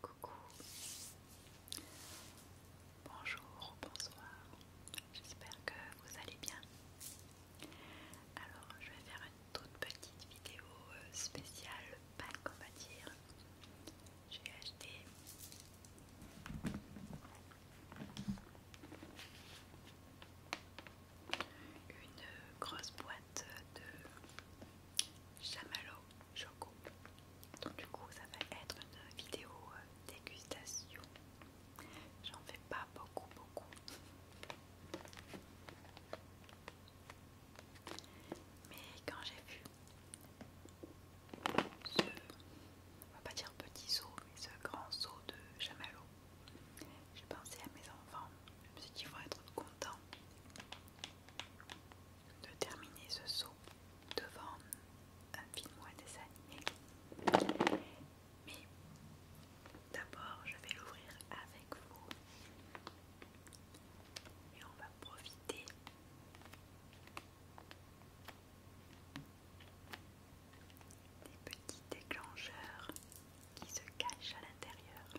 Coucou, bonjour, bonsoir, j'espère que vous allez bien. Alors je vais faire une toute petite vidéo euh, spéciale pas on va dire. J'ai acheté une grosse boîte de chamallow choco. Donc du coup ça va être une vidéo euh, dégustation. J'en fais pas beaucoup beaucoup. Mais quand j'ai vu ce, on va pas dire petit seau, mais ce grand seau de chamallow, j'ai pensé à mes enfants. Je me suis dit qu'ils vont être contents de terminer ce saut devant un film ou un dessin Mais d'abord, je vais l'ouvrir avec vous et on va profiter des petits déclencheurs qui se cachent à l'intérieur.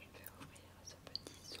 Je vais ouvrir ce petit son.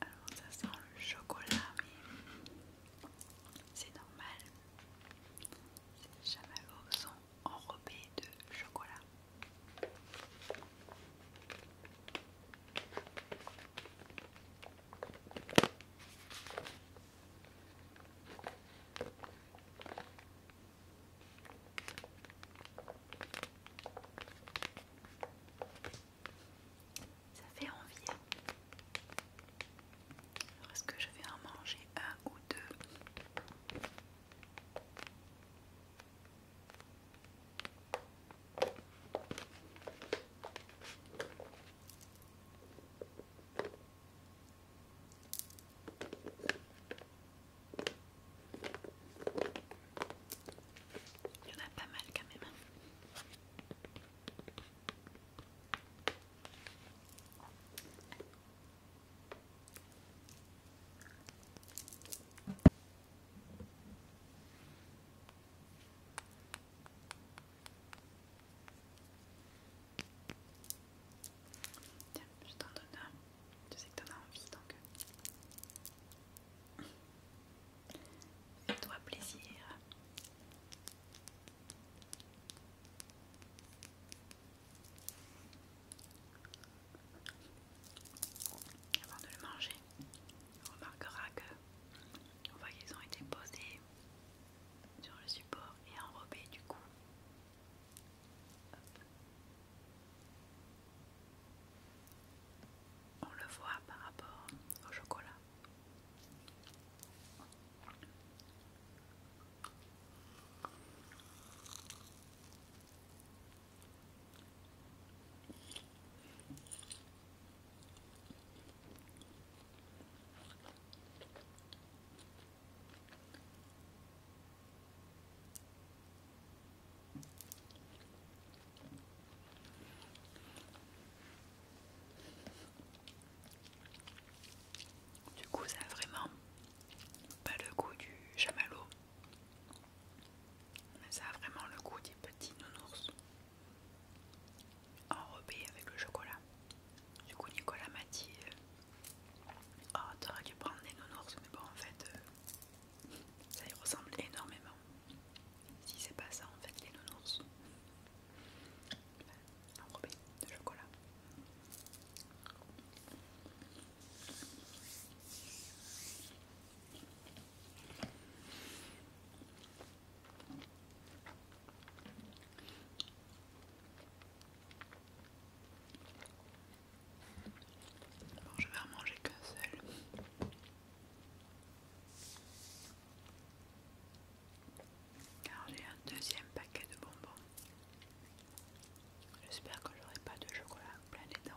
Alors ça sent le chocolat mais c'est normal. Ces chamallows sont enrobés de chocolat. Ça fait envie. Hein. est-ce que je vais en manger un ou deux il y en a pas mal quand même. Hein. Tiens, je t'en donne un. Je sais que t'en as envie donc. Euh. Fais-toi plaisir. Avant de le manger, on remarquera que on voit qu'ils ont été posés sur le support et enrobés du coup. On le voit par rapport au chocolat. Du coup, ça a vraiment pas le goût du chamallow, mais ça a vraiment le goût des petits nounours enrobé avec le chocolat. Du coup, Nicolas m'a dit euh, Oh, t'aurais dû prendre des nounours, mais bon, en fait, euh, ça y ressemble énormément. Si c'est pas ça, en fait, les nounours enrobés de chocolat. Bon, je vais en manger qu'un seul. Car j'ai un deuxième paquet de bonbons. J'espère que j'aurai pas de chocolat plein les dents.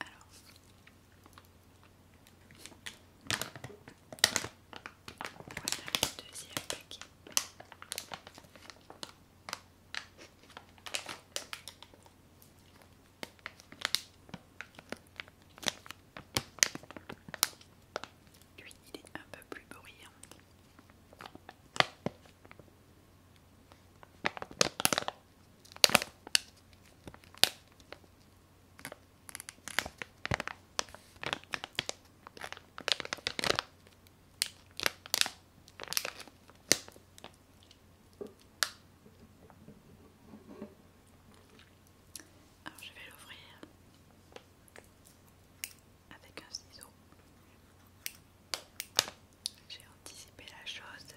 Alors, voilà le deuxième paquet. Lui, il est un peu plus bruyant je vais l'ouvrir avec un ciseau. J'ai anticipé la chose.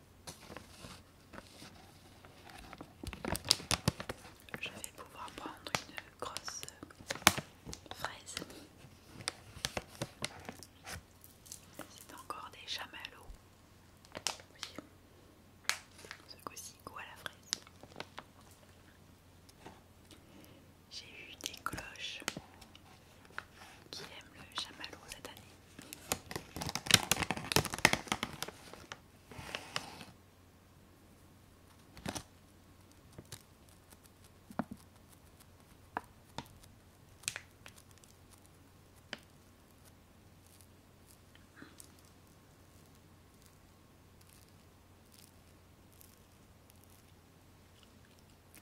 Je vais pouvoir prendre une grosse fraise. C'est encore des chamallows. Ce coup-ci, à la fraise. J'ai eu des cloches qui aiment le chamallow cette année.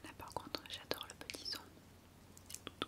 Là par contre j'adore le petit son. tout,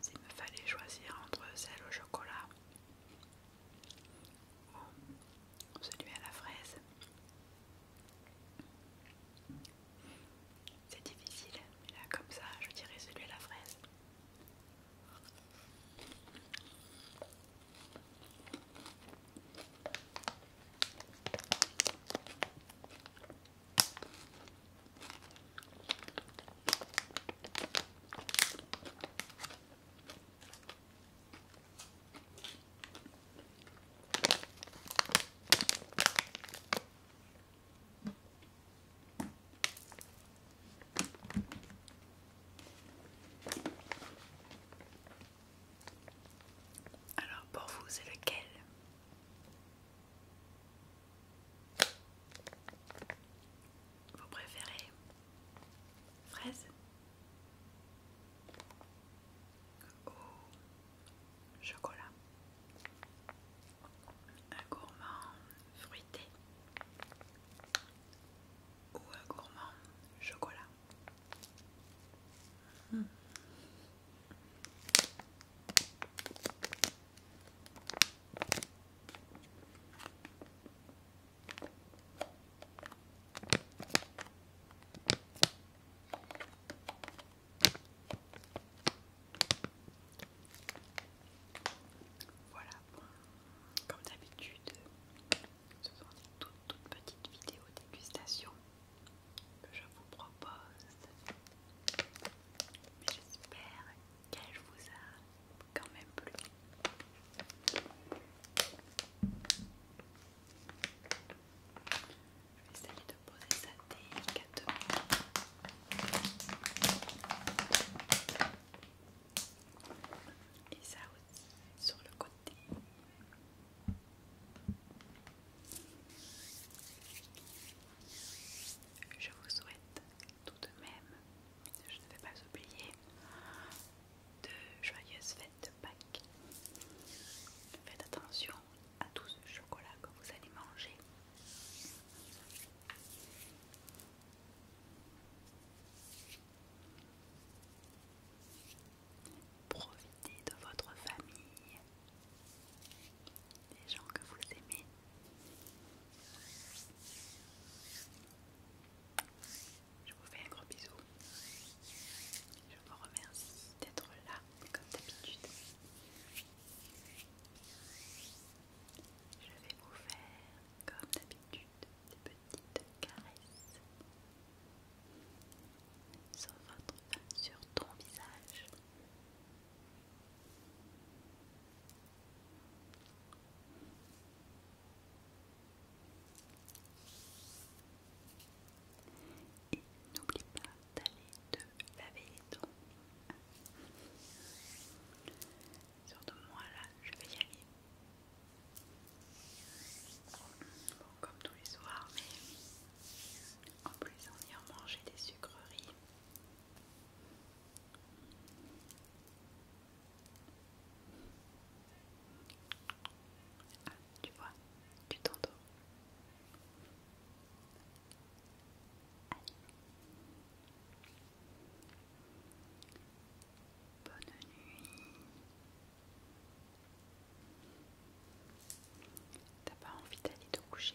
S'il me fallait choisir entre celle au chocolat ou celui à la fraise, c'est difficile, mais là comme ça je dirais celui à la fraise. Alors pour vous, c'est lequel vous préférez fraise ou chocolat Un gourmand fruité ou un gourmand chocolat hmm. Voilà, comme d'habitude, ce sont des toutes, petites vidéos dégustations que je vous propose. j'espère qu'elle vous a quand même plu. Je vais essayer de poser ça délicatement. Et ça aussi sur le côté. Je vous souhaite tout de même, je ne vais pas oublier de joyeuses fêtes de Pâques. Faites attention à tout ce chocolat que vous allez manger. Profitez de votre famille des gens que vous aimez. Je vous fais un gros bisou. Je vous remercie d'être là comme d'habitude. Je vais vous faire comme d'habitude des petites caresses sur votre, sur ton visage. Et n'oublie pas d'aller te laver les dents. Surtout moi là, je vais y aller. Bon, comme tous les soirs, mais en plus on vient manger des sucreries. Ah, tu vois, tu t'endors. Bonne nuit. T'as pas envie d'aller te coucher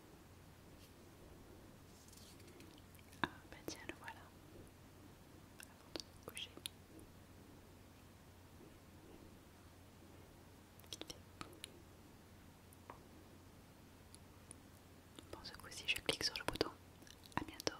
Ah, bah tiens, le voilà. Avant de se coucher. Bon, ce coup-ci, je clique sur le bouton. À bientôt.